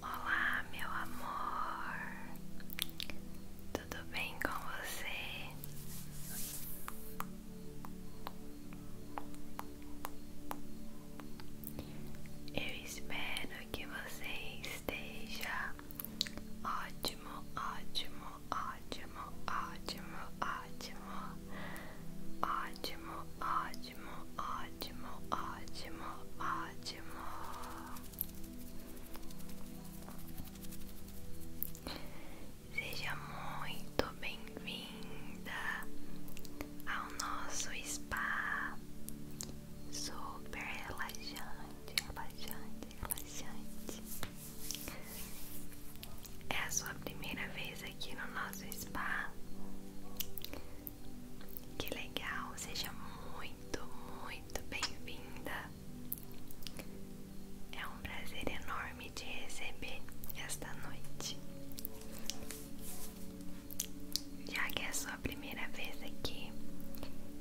Olá, meu amor, tudo bem com você? Eu espero que você esteja ótimo, ótimo, ótimo, ótimo, ótimo, ótimo, ótimo, ótimo, ótimo, ótimo. Seja muito bem-vinda, ao nosso spa super relaxante, relaxante, relaxante. É a sua primeira vez aqui no nosso spa. Que legal, seja muito, muito bem-vinda. É um prazer enorme te receber esta noite. Já que é sua primeira vez aqui,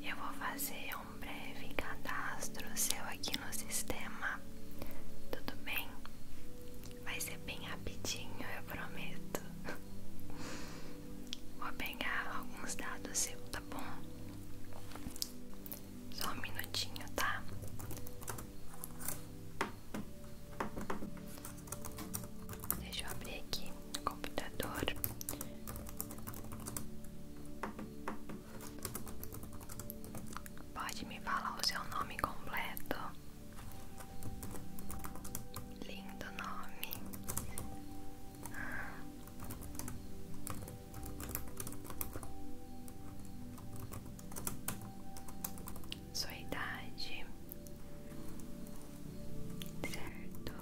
eu vou fazer um breve cadastro seu aqui no sistema. Tudo bem? Vai ser bem rapidinho, eu prometo. Vou pegar alguns dados seu, tá bom? Só um minutinho, tá? Deixa eu abrir aqui no computador. Pode me falar o seu nome completo. Lindo nome sua idade, certo?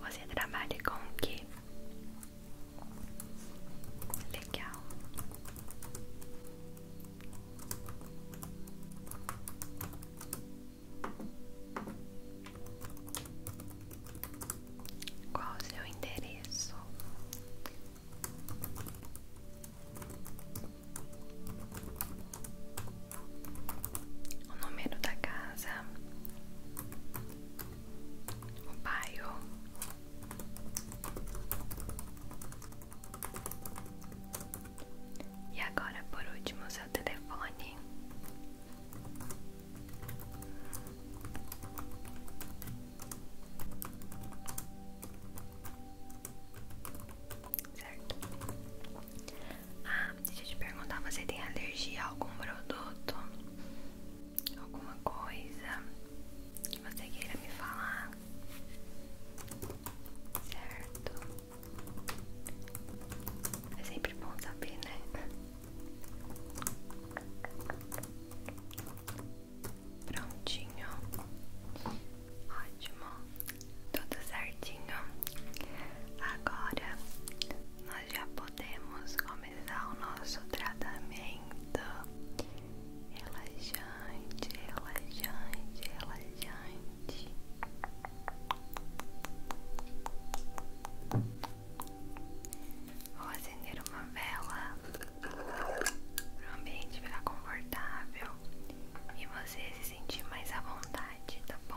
Você trabalha com o que? Legal. Qual o seu endereço? o número da casa, o bairro. E agora, por último, o seu telefone. Certo? Ah, deixa eu te perguntar, você tem alergia a algum produto? Alguma coisa que você queira me falar? Certo? É sempre bom saber, né? Prontinho. Ótimo. Tudo certinho. Agora nós já podemos começar o nosso tratamento. Relaxante, relaxante, relaxante. Vou acender uma vela para o ambiente ficar confortável e você se sentir mais à vontade, tá bom?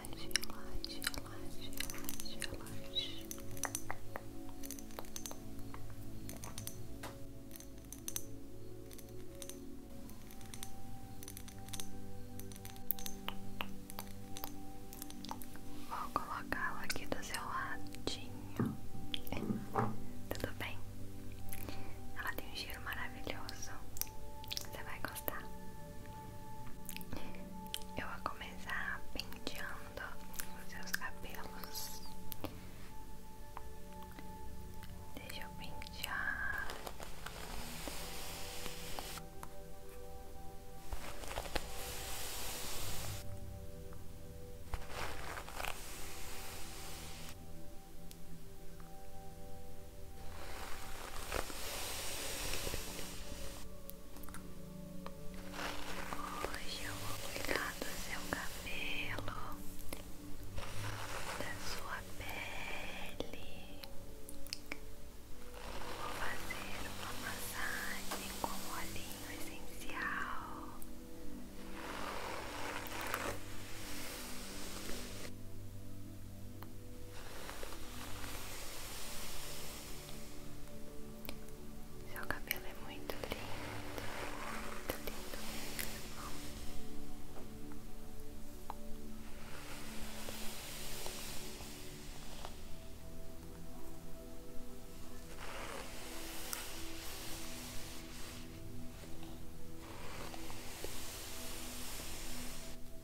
relaxe, relaxe, relaxe, relaxe, Vou colocá la aqui do seu ladinho. Tudo bem? Ela tem um giro maravilhoso. Você vai gostar. Eu vou começar pintando os seus cabelos. Deixa eu pintar. Hoje eu vou cuidar do seu cabelo, da sua pele. Vou fazer uma massagem com olhinho essencial. Seu cabelo é muito lindo,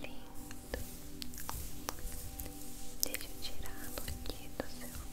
Lindo, deixa eu tirar aqui do seu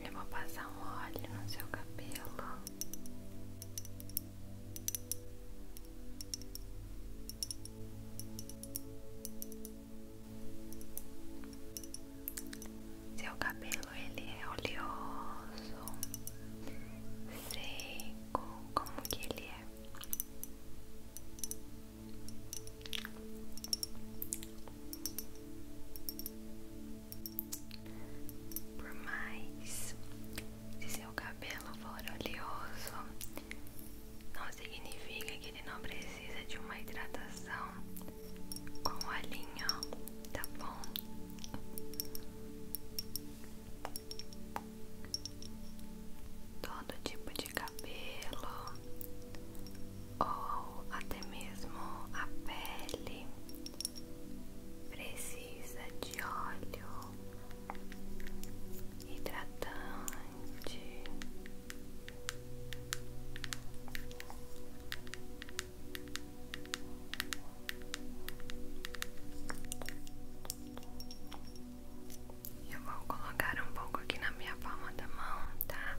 Eu vou passar um óleo no seu cabelo. Seu cabelo ele é oleoso, seco, como que ele é? Por mais que seu cabelo for oleoso, não significa que ele não precisa de uma hidratação com olhinho, tá bom? Todo tipo de cabelo ou até mesmo a pele precisa de óleo hidratante. Eu vou colocar um pouco aqui na minha palma da mão, tá?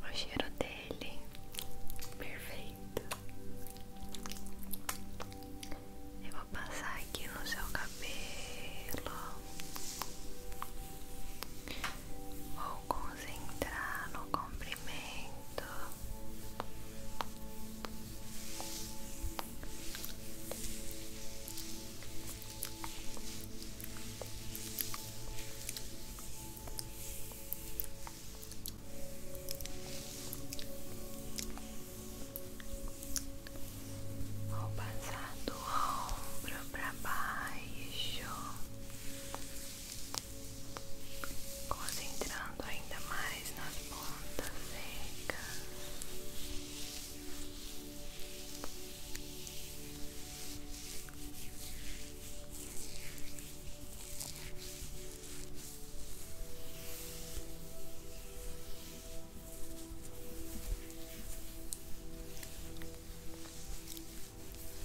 O cheiro dele perfeito. Eu vou passar aqui no seu cabelo ou com entrar no comprimento. Vou passar do ombro para baixo concentrando ainda mais nas pontas secas. Agora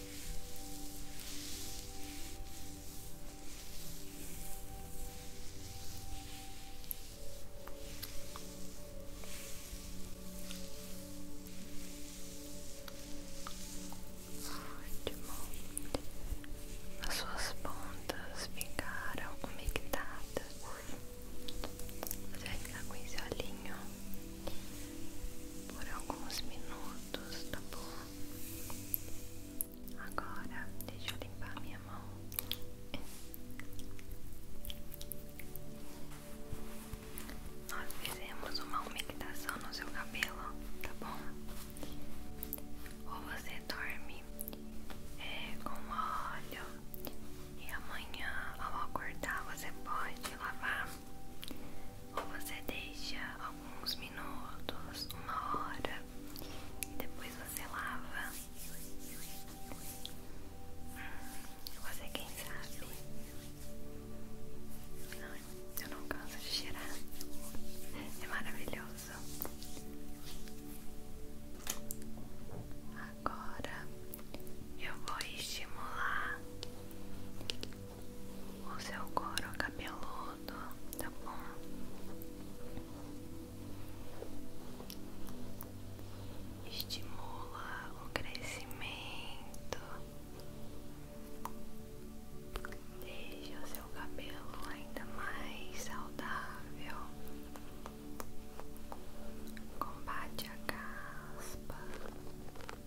Ótimo. As suas pontas ficaram conectadas, Você vai ficar com esse olhinho por alguns minutos, tá bom? Agora deixa eu limpar minha mão. Nós fizemos uma umectação no seu cabelo, tá bom? Ou você dorme é, com óleo e amanhã ao acordar você pode lavar ou você deixa alguns minutos, uma hora e depois você lava. Hum, você quem sabe? Ai, eu não canso de cheirar. É maravilhoso. Agora eu vou estimular o seu couro cabeludo, tá bom? Estimula o crescimento. Deixa o seu cabelo ainda mais saudável. Combate a caspa.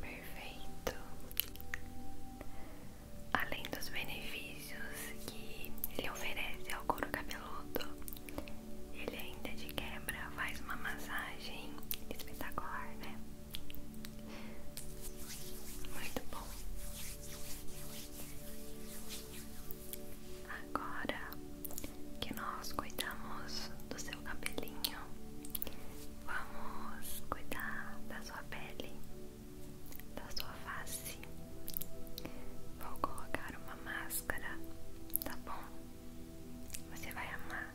Perfeito. Além dos benefícios que ele oferece ao couro cabeludo, ele ainda de quebra faz uma massagem espetacular, né? Muito bom. Agora que nós cuidamos do seu cabelinho, vamos cuidar da sua pele, da sua face. Vou colocar uma máscara, tá bom? Você vai amar.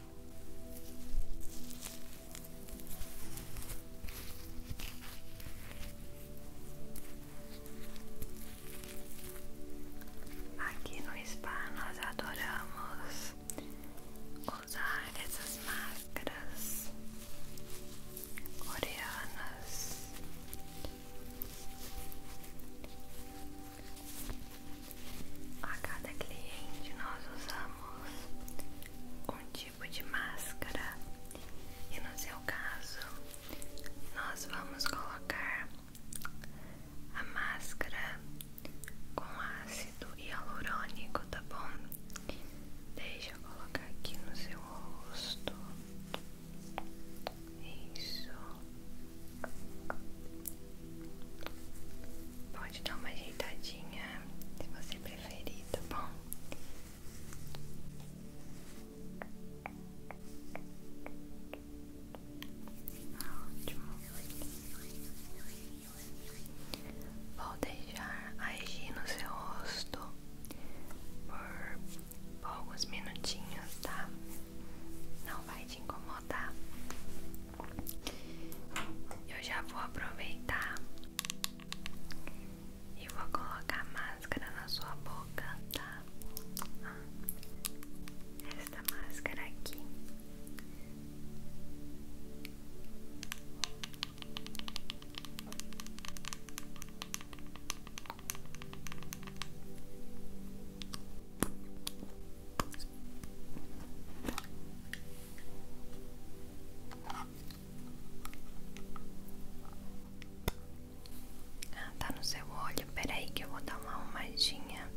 Aqui no spa nós adoramos usar essas máscaras coreanas a cada cliente nós usamos um tipo de máscara e no seu caso nós vamos colocar a máscara com ácido hialurônico, tá bom? Deixa eu colocar aqui no seu rosto. Isso. Pode dar uma ajeitadinha se você preferir, tá bom? Ótimo. Vou deixar agir no seu rosto por alguns minutinhos, tá? Não vai te incomodar. Eu já vou aproveitar e vou colocar máscara na sua boca, tá? Esta máscara aqui. Ah, tá no seu olho. Peraí, que eu vou dar uma arrumadinha.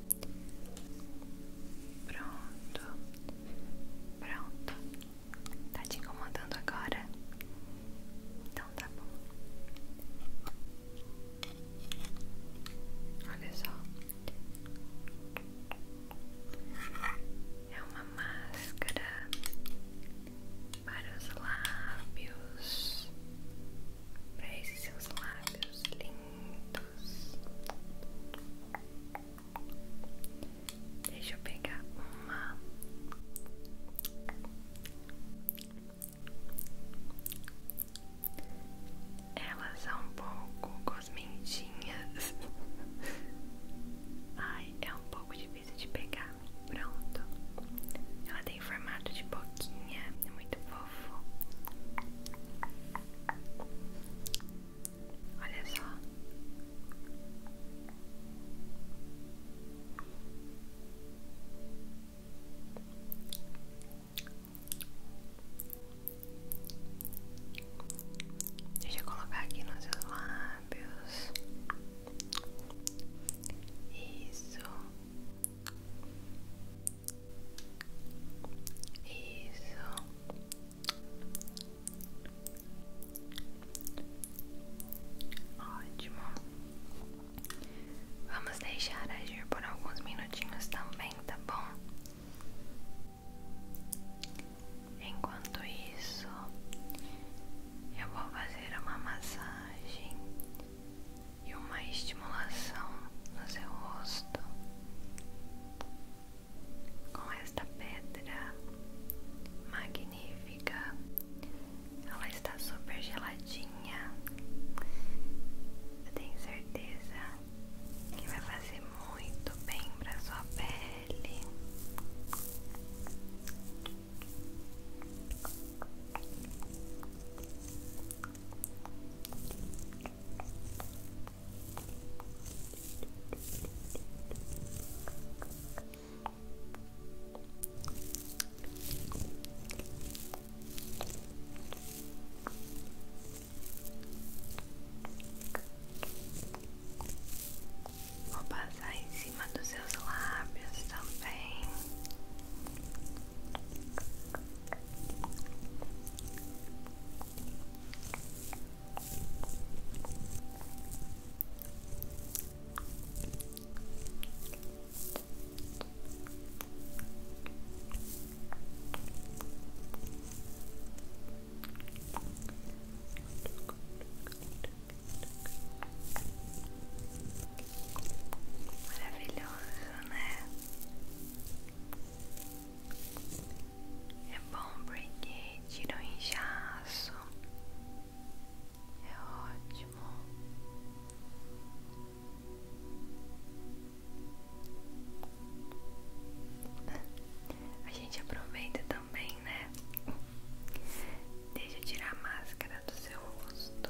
Pronto, pronto. Tá te incomodando agora? Então tá bom. Olha só. É uma máscara para os lábios, para esses seus lábios lindos. Deixa eu pegar uma. Elas são um pouco cosmentinhas. Ai, é um pouco difícil de pegar. Pronto. Ela tem formato de boquinha, é muito fofo. Olha só. Deixa eu colocar aqui nos seus lábios. Isso. Isso. Ótimo. Vamos deixar agir por alguns minutinhos também, tá bom? Enquanto isso, eu vou fazer uma massagem e uma estimulação no seu rosto com esta pedra magnífica. Ela está super geladinha. Eu tenho certeza que vai fazer muito bem para sua pele. Vou passar em cima dos seus lábios também. Vou Maravilhoso, né? É bom porque tira o inchaço. É ótimo. A gente aproveita também, né? Deixa eu tirar a máscara do seu rosto.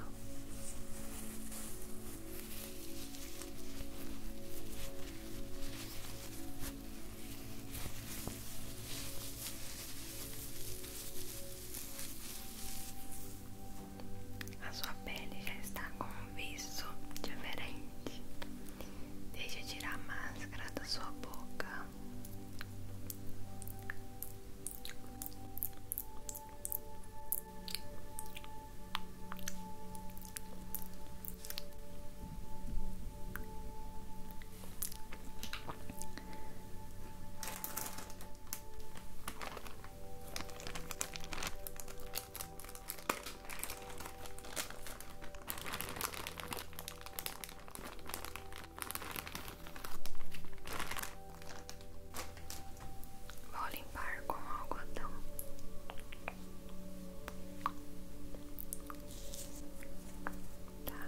A sua pele já está com um viço diferente. Deixa eu tirar a máscara da sua boca. Vou limpar com algodão. Tá.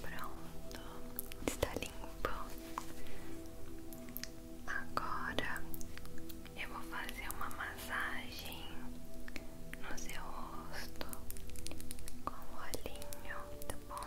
Pronto, está limpo. Agora eu vou fazer uma massagem no seu rosto com o olhinho, tá bom?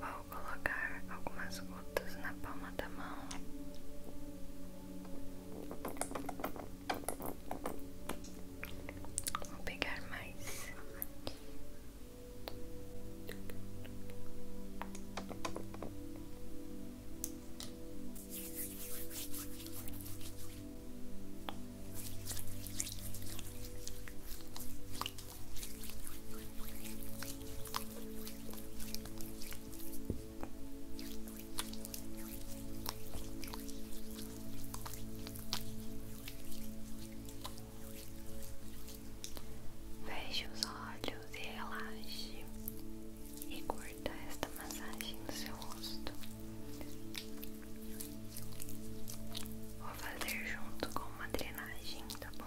Vou colocar algumas gotas na palma da mão. Vou pegar mais. Veja os olhos e relaxe e curta esta massagem no seu rosto. Vou fazer junto com uma drenagem, tá bom?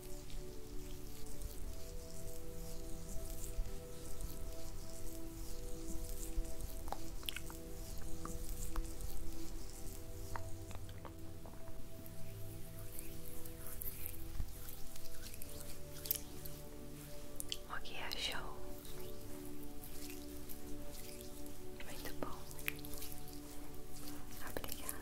O que achou? Muito bom. Obrigada.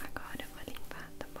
Agora eu vou limpar, tá bom?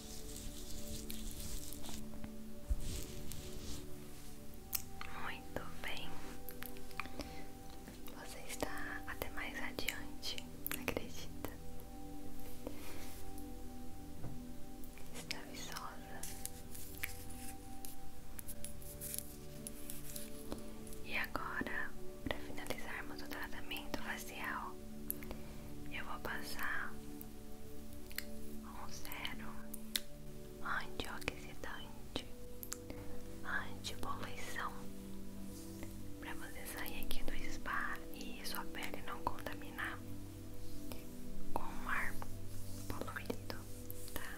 Muito bem. Você está até mais adiante, acredita? Está viçosa. E agora, para finalizarmos o tratamento facial, eu vou passar um sérum antioxidante, poluição, para você sair aqui do spa e sua pele não contaminar com o ar poluído, tá?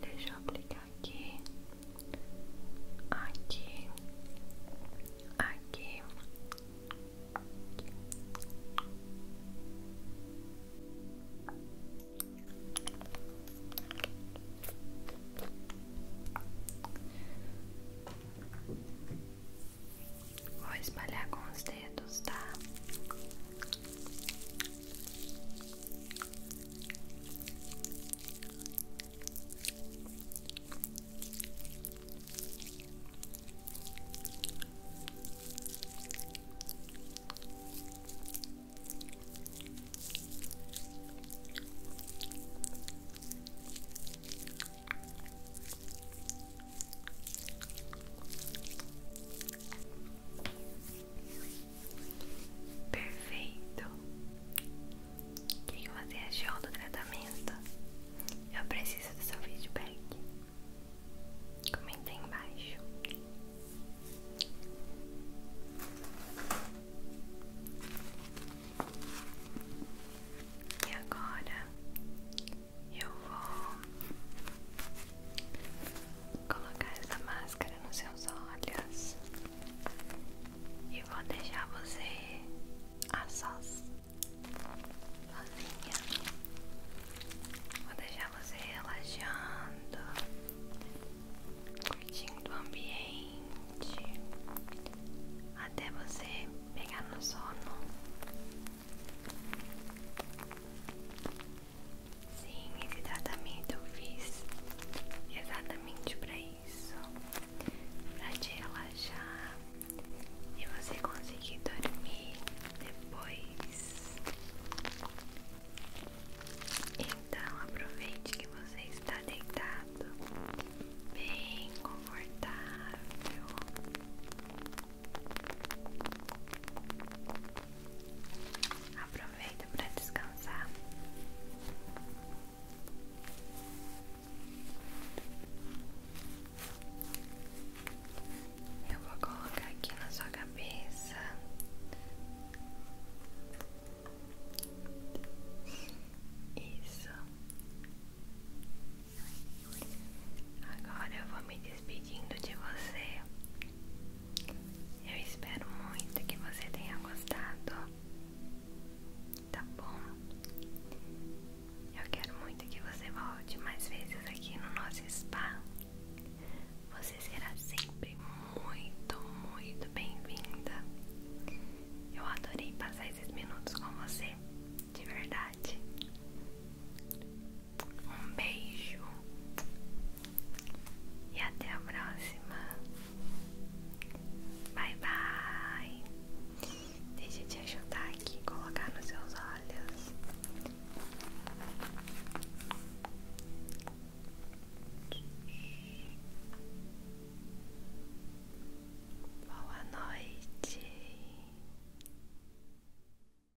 Deixa eu aplicar aqui, aqui, aqui. Vou espalhar com os dedos, tá? Perfeito. O que você gel do tratamento? Eu preciso do seu feedback. Comenta aí embaixo. E agora eu vou colocar essa máscara nos seus olhos e vou deixar você a sós, sozinha. Vou deixar você relaxando, curtindo o ambiente até você pegar no sono. Sim, esse tratamento eu fiz exatamente para isso, para te relaxar e você conseguir dormir depois. Então aproveite que você está deitado, bem confortável. Aproveita para descansar. Eu vou colocar aqui na sua cabeça. Isso. Agora eu vou me pedindo de você. Eu espero muito que você tenha gostado. Tá bom? Eu quero muito que você volte mais vezes aqui no nosso spa. Você será sempre muito, muito bem-vinda. Eu adorei passar esses minutos com você, de verdade. Um beijo e até a próxima. Bye bye. Deixa eu te ajudar aqui, colocar nos seus olhos. Boa noite.